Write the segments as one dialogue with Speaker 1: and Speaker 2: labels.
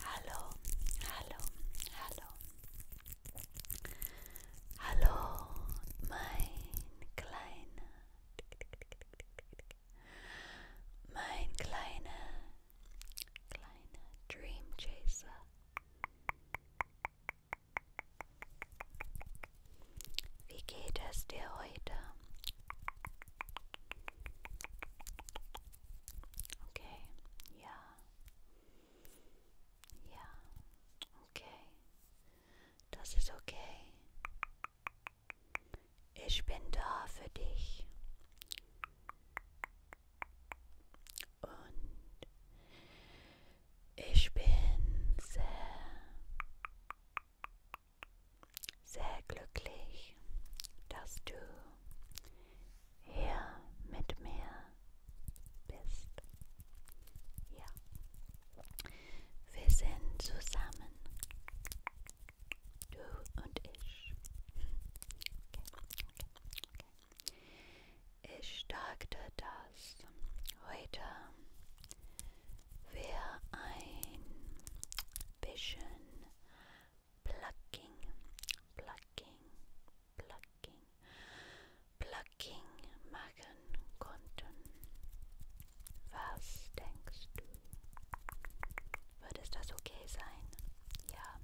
Speaker 1: Hallo, hallo, hallo. Hallo, mein kleiner. Mein kleiner, kleiner Dream Chaser. Wie geht es dir heute? Okay, ja. Ja, okay. Das ist okay. Ich bin da für dich. Und ich bin sehr, sehr glücklich, dass du hier mit mir bist. Ja, wir sind zusammen, du und ich. Okay, okay, okay. Ich dachte, dass heute wir ein bisschen Plucking, Plucking, Plucking, Plucking machen konnten. Was denkst du? Wird es das okay sein? Ja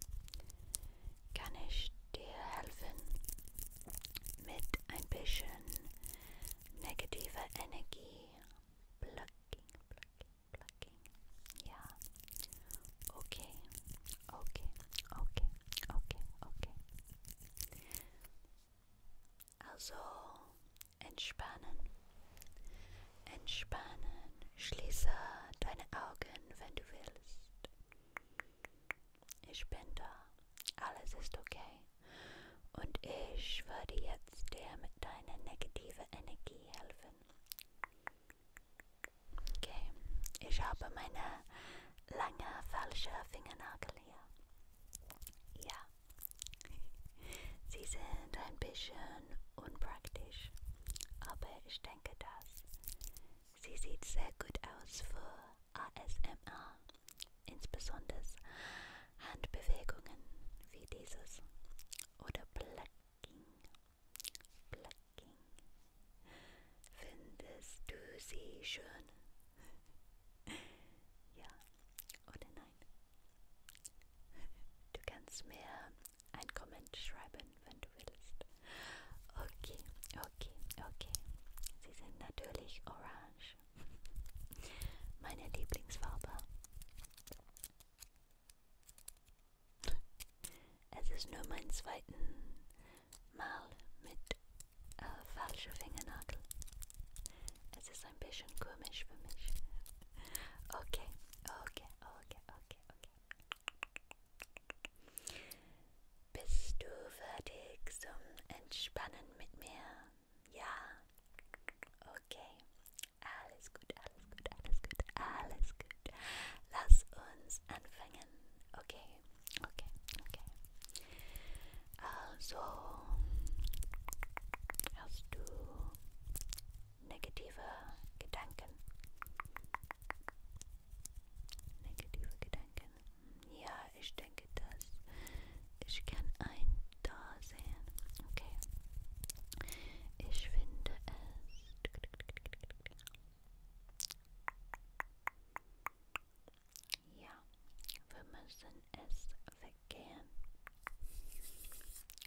Speaker 1: kann ich dir helfen mit ein bisschen negativer Energie. Blocking, blocking, blocking. Ja. Okay, okay, okay, okay, okay. Also entspannen, entspannen. Schließe deine Augen, wenn du willst. Ich bin da. Alles ist okay. Und ich würde jetzt dir mit deiner negativen Energie helfen. Okay, ich habe meine lange falsche Fingernagel hier. Ja, sie sind ein bisschen unpraktisch, aber ich denke, dass Sie sieht sehr gut aus für ASMR, insbesondere Handbewegungen wie dieses oder Plucking. Plucking. Findest du sie schön? ja oder nein? Du kannst mir einen Comment schreiben, wenn du willst. Okay, okay, okay. Sie sind natürlich orange. Meine Lieblingsfarbe. Es ist nur mein zweiten Mal mit äh, falscher Fingernagel. Es ist ein bisschen komisch für mich. Okay, okay, okay, okay, okay. Bist du fertig zum Entspannen mit mir? Ja? Okay. Alles gut, alles gut, alles gut, alles gut. Lass uns anfangen. Okay, okay, okay. Also, hast du negative Gedanken? Negative Gedanken. Ja, ich denke, dass ich kann ein da sehen. Okay. Ich finde es. Ja, wir müssen es weggehen.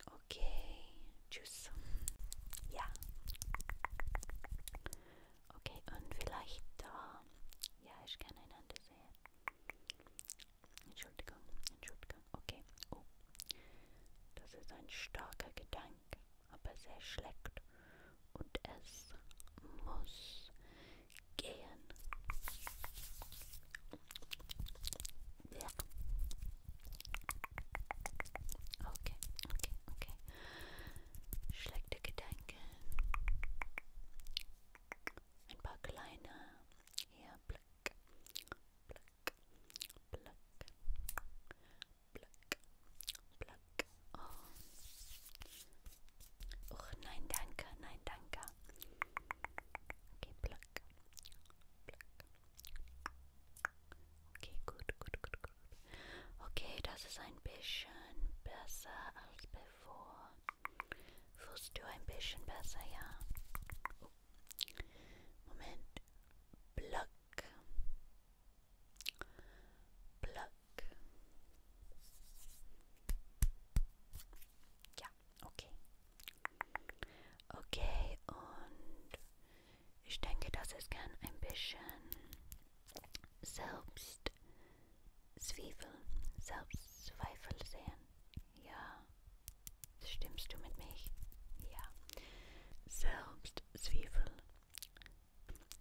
Speaker 1: Okay, Tschüss. Ja. Okay, und vielleicht da. Äh, ja, ich kann einander sehen. Entschuldigung, Entschuldigung. Okay. Oh. Das ist ein starker Gedanke, aber sehr schlecht. Und es muss gehen. Ja. Okay, okay, okay schlechte Gedanken, ein paar kleine, hier, Black, Black, Black, Black, Black, oh, Och, nein, danke, nein, danke, okay, Black, Black, Okay, gut, gut, gut, gut. Okay, das ist ein bisschen besser als bevor. Fühlst du ein bisschen besser, ja? Oh. Moment. Block. Block. Ja, okay. Okay, und ich denke, das ist gern ein bisschen selbst Zwiebel, Selbstzweifel sehen. Ja, stimmst du mit mich? Ja. Selbstzwiebel.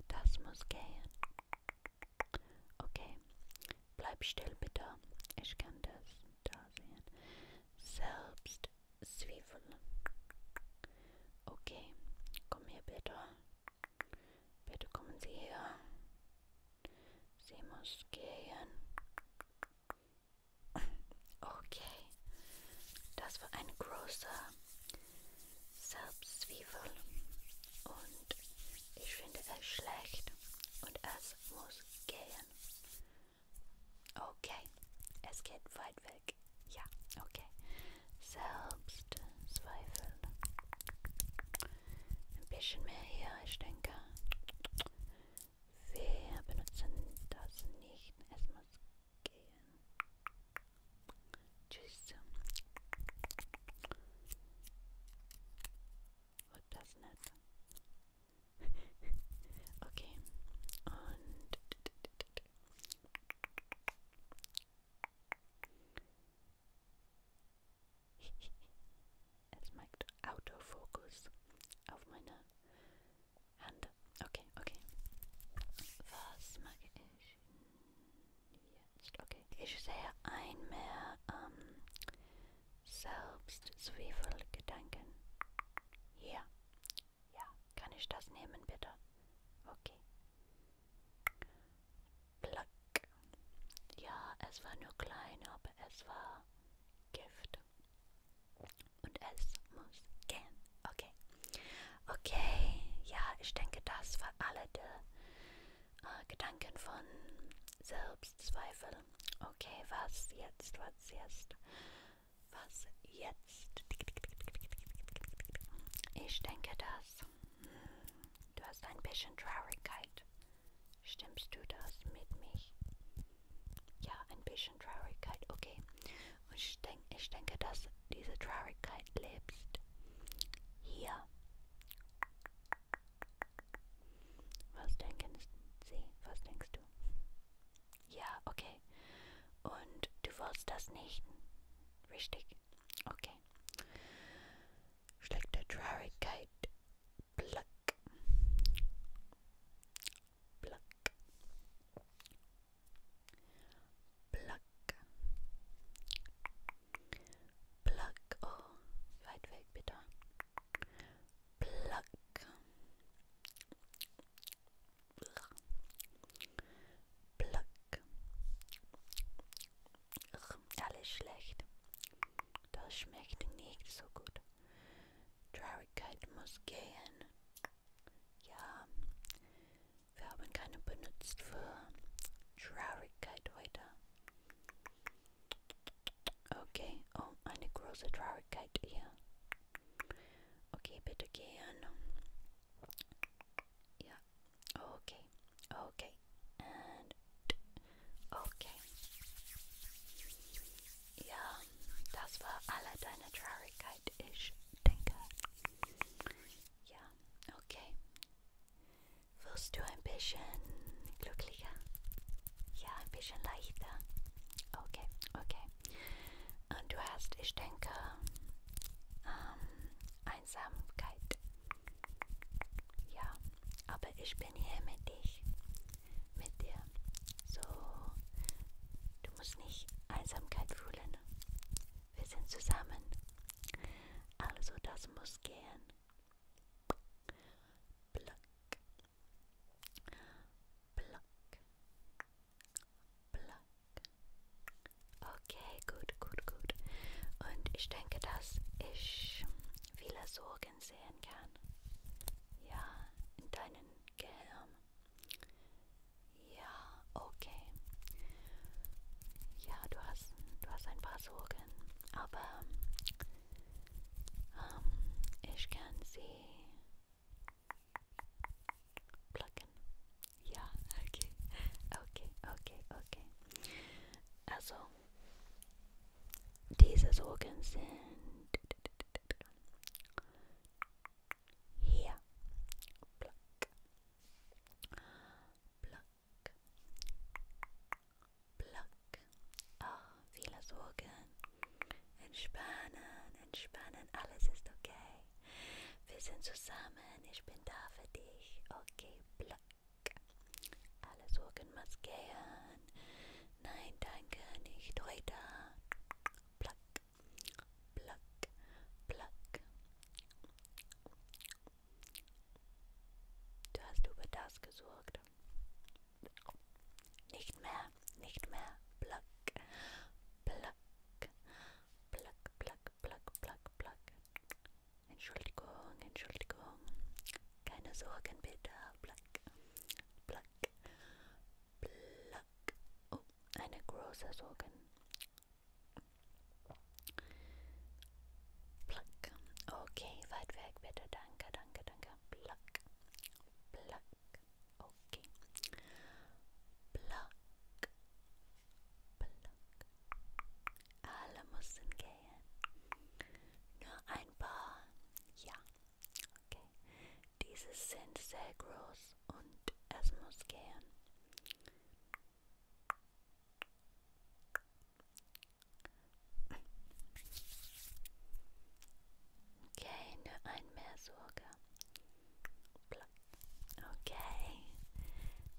Speaker 1: Das muss gehen. Okay, bleib still bitte. Ich kann das da sehen. Selbstzweifel. Zwiebeln. Okay, komm hier bitte. Bitte kommen Sie her. Sie muss gehen. Okay, das war eine große Selbstzwiebel und ich finde es schlecht und es muss gehen. Okay, es geht weit weg. Ja, okay. Selbstzweifel. Ein bisschen mehr hier, ich denke. Wir benutzen das nicht. Es muss gehen. Tschüss. Und das nicht. okay. Und it. it's my autofocus of my Okay, okay. Was mag ich Okay. Ich sehe ein mehr ähm, um, Selbstzweifelgedanken. Hier. Ja, kann ich das nehmen, bitte? Okay. Plack. Ja, es war nur klein, aber es war Gift. Und es muss gehen. Okay. Okay. Ja, ich denke, das war alle die äh, Gedanken von Selbstzweifel. Okay, was jetzt? Was jetzt? Was jetzt? Ich denke das. Du hast ein bisschen Traurigkeit. Stimmst du das mit mich? Ja, ein bisschen Traurigkeit, okay. Und ich, denk, ich denke, dass diese Traurigkeit lebst. Hier. Was denken Sie? Was denkst du? Ja, okay. Und du wolltest das nicht? Richtig. Okay. Schlechte Traurigkeit. Pluck. Pluck. Pluck. Pluck. Oh, weit weg bitte. Pluck. Pluck. Ach, alles schlecht. Das schmeckt nicht so gut. Traurigkeit muss gehen. Ja, wir haben keine benutzt für Traurigkeit heute. Okay, oh, eine große Traurigkeit hier. Okay, bitte gehen. Yeah. Okay. Okay. And okay. Ja, das war alle deine Traurigkeit, ich denke. Ja, okay. Wirst du ein bisschen glücklicher? Ja, ein bisschen leichter. Okay, okay. Du hast, ich denke, ähm, Einsamkeit. Ja, aber ich bin hier mit dich, mit dir. So, du musst nicht Einsamkeit fühlen. Wir sind zusammen. Also das muss gehen. Pluck. Pluck. Pluck. Okay, gut, gut, gut. Und ich denke, dass ich viele Sorgen sehen kann. Ja, in deinem Gehirn. Ja, okay. Ja, du hast, du hast ein paar Sorgen, aber ähm, ich kann sie Blocken. Ja, okay. Okay, okay, okay. Also, diese Sorgen sind hier. Block. Block. Block. Ah, oh, viele Sorgen. Entspannen, entspannen, alles ist okay. Wir sind zusammen, ich bin da für dich. Okay, black. Alles Sorgen maskieren. Nein, danke, nicht heute. Black, black, black. Du hast über das gesorgt. Nicht mehr nicht mehr. Pluck, pluck, pluck, pluck, pluck, pluck, pluck. Entschuldigung, Entschuldigung. Keine Sorgen bitte. Pluck, pluck, pluck. Oh, eine große Sorgen. Pluck. Okay, weit weg bitte. Danke, danke, danke. Pluck, pluck, Okay. Plak. Plak. Alle müssen gehen. Nur ein paar. Ja. Okay. Diese sind sehr groß und es muss gehen. Okay, nur ein mehr Sorge. Okay.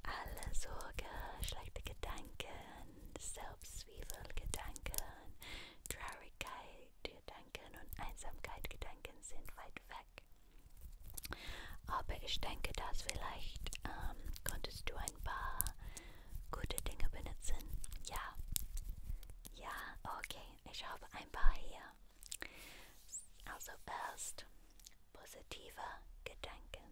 Speaker 1: Alle Sorge, schlechte Gedanken, Selbstzwiefelgedanken, Traurigkeit, Gedanken und Einsamkeit, Gedanken sind weit weg. Aber ich denke, dass vielleicht ähm, konntest du ein paar gute Dinge benutzen. Ja. Ja, okay. Ich habe ein paar hier. Also erst positive Gedanken.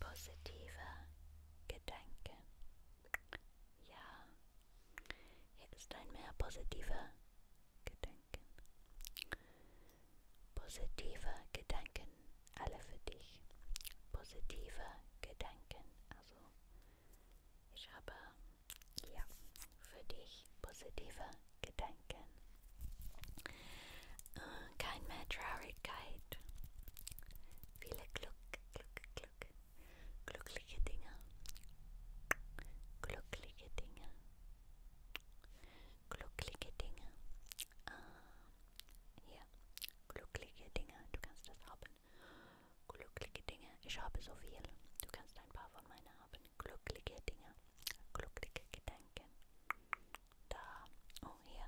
Speaker 1: Positive Gedanken. Ja, hier ist ein mehr positiver Gedanken. Positive Gedanken, alle für dich. Positive Gedanken, also ich habe hier für dich positive Gedanken. Äh, kein mehr Traurigkeit. Viele Glück, Glück, Glück. Glückliche Dinge. Glückliche Dinge. Glückliche Dinge. Äh, hier. Glückliche Dinge. Du kannst das haben. Glückliche Dinge. Ich habe so viel. Du kannst ein paar von meinen haben. Glückliche Dinge. Glückliche Gedanken. Da. Oh, hier.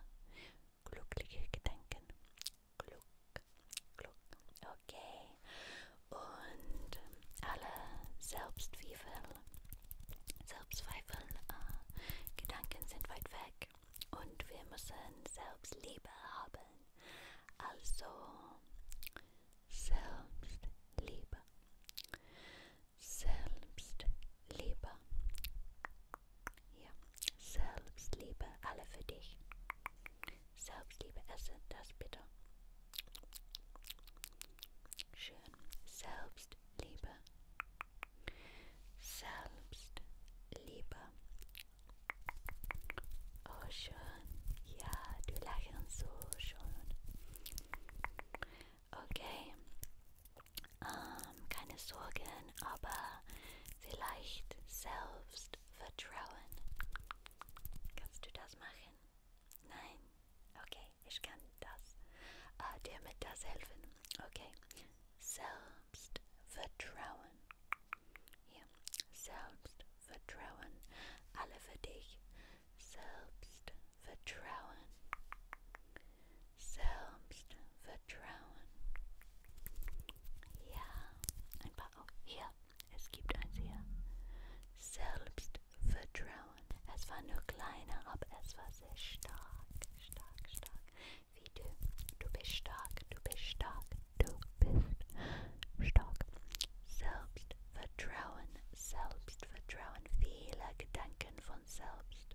Speaker 1: Glückliche Gedanken. Glück. Glück. Okay. Und ähm, alle Selbstzweifel, Selbstzweifel, äh, Gedanken sind weit weg. Und wir müssen Selbstliebe haben. Also Selbstliebe. Selbstliebe. Ja, Selbstliebe, alle für dich. Selbstliebe, esse das bitte. Schön. Selbstliebe. Selbstliebe. Oh, schön. Ja, du lachen so schön. Okay. Ähm, keine Sorgen, aber vielleicht Selbstvertrauen. Kannst du das machen? Nein? Okay, ich kann das. Äh, dir mit das helfen. Okay. Selbstvertrauen. Hier. Selbstvertrauen. Alle für dich. Selbstvertrauen. Selbstvertrauen. Ja. Ein paar. Oh, hier. Es gibt eins hier. Selbstvertrauen. Es war nur kleiner, aber es war sehr stark. Stark, stark. Wie du. Du bist stark. Du bist stark. Du bist stark. Selbstvertrauen, Selbstvertrauen, viele Gedanken von selbst.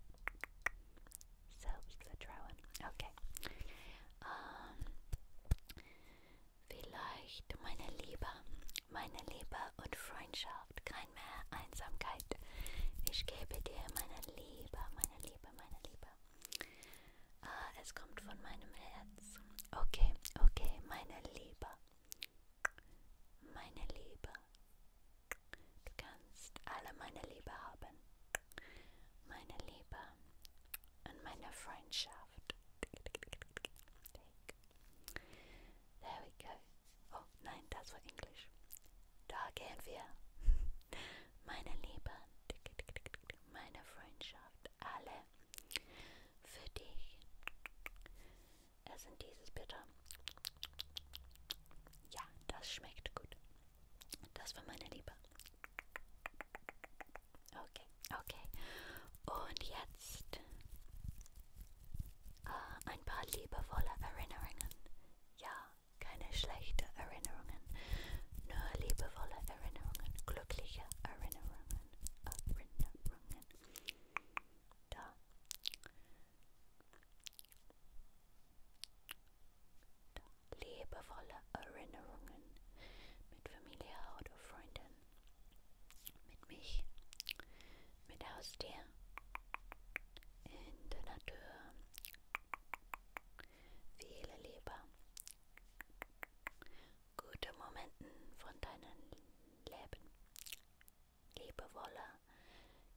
Speaker 1: Selbstvertrauen, okay. Um, ähm, vielleicht meine Liebe, meine Liebe und Freundschaft, kein mehr Einsamkeit. Ich gebe dir meine Liebe, meine Liebe, meine Liebe, Ah, es kommt von meinem Herzen. Okay, okay, meine Liebe. Meine Liebe. Du kannst alle meine Liebe haben. Meine Liebe und meine Freundschaft. There we go. Oh nein, das war Englisch. Da gehen wir. Meine Liebe, meine Freundschaft sind alle für dich. Es sind dieses bitte. Ja, das schmeckt gut. Das war meine Liebe. Okay, okay. Und jetzt äh, ein paar liebevolle Erinnerungen. Ja, keine schlechten Erinnerungen, nur liebevolle Erinnerungen, glückliche Erinnerungen, Erinnerungen. Da. da. Liebevolle Erinnerungen mit Familie oder Freunden, mit mich, mit Haustier, in der Natur. Viele Liebe, gute Momenten von deinem Leben. Liebevolle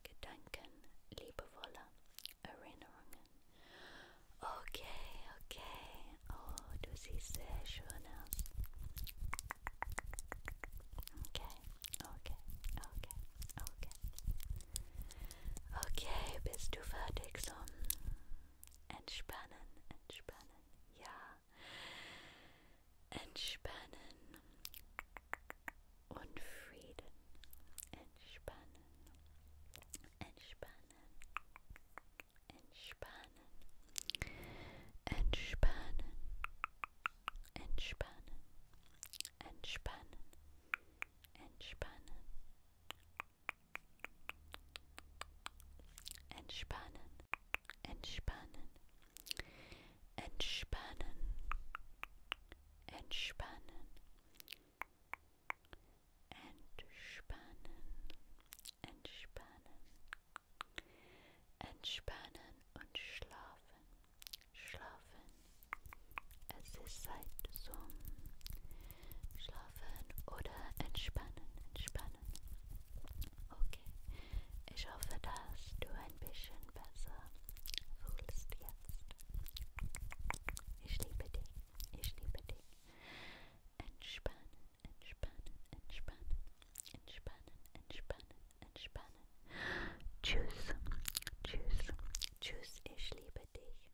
Speaker 1: Gedanken, liebevolle Erinnerungen. Okay, okay. Oh, du siehst sehr schön aus. Okay, okay, okay, okay. Okay, bist du fertig so? Entspannen, entspannen, ja. Entspannen und Frieden. Entspannen, entspannen, entspannen, entspannen, entspannen, entspannen, entspannen. Entspannen, entspannen, entspannen, entspannen, entspannen, entspannen, entspannen und schlafen, schlafen. Es ist Zeit zum Schlafen oder entspannen, entspannen. Okay, ich hoffe, dass du ein bisschen besser fühlst jetzt. Ich liebe dich, ich liebe dich. Entspannen, entspannen, entspannen, entspannen, entspannen, entspannen. Tschüss, tschüss, tschüss, ich liebe dich.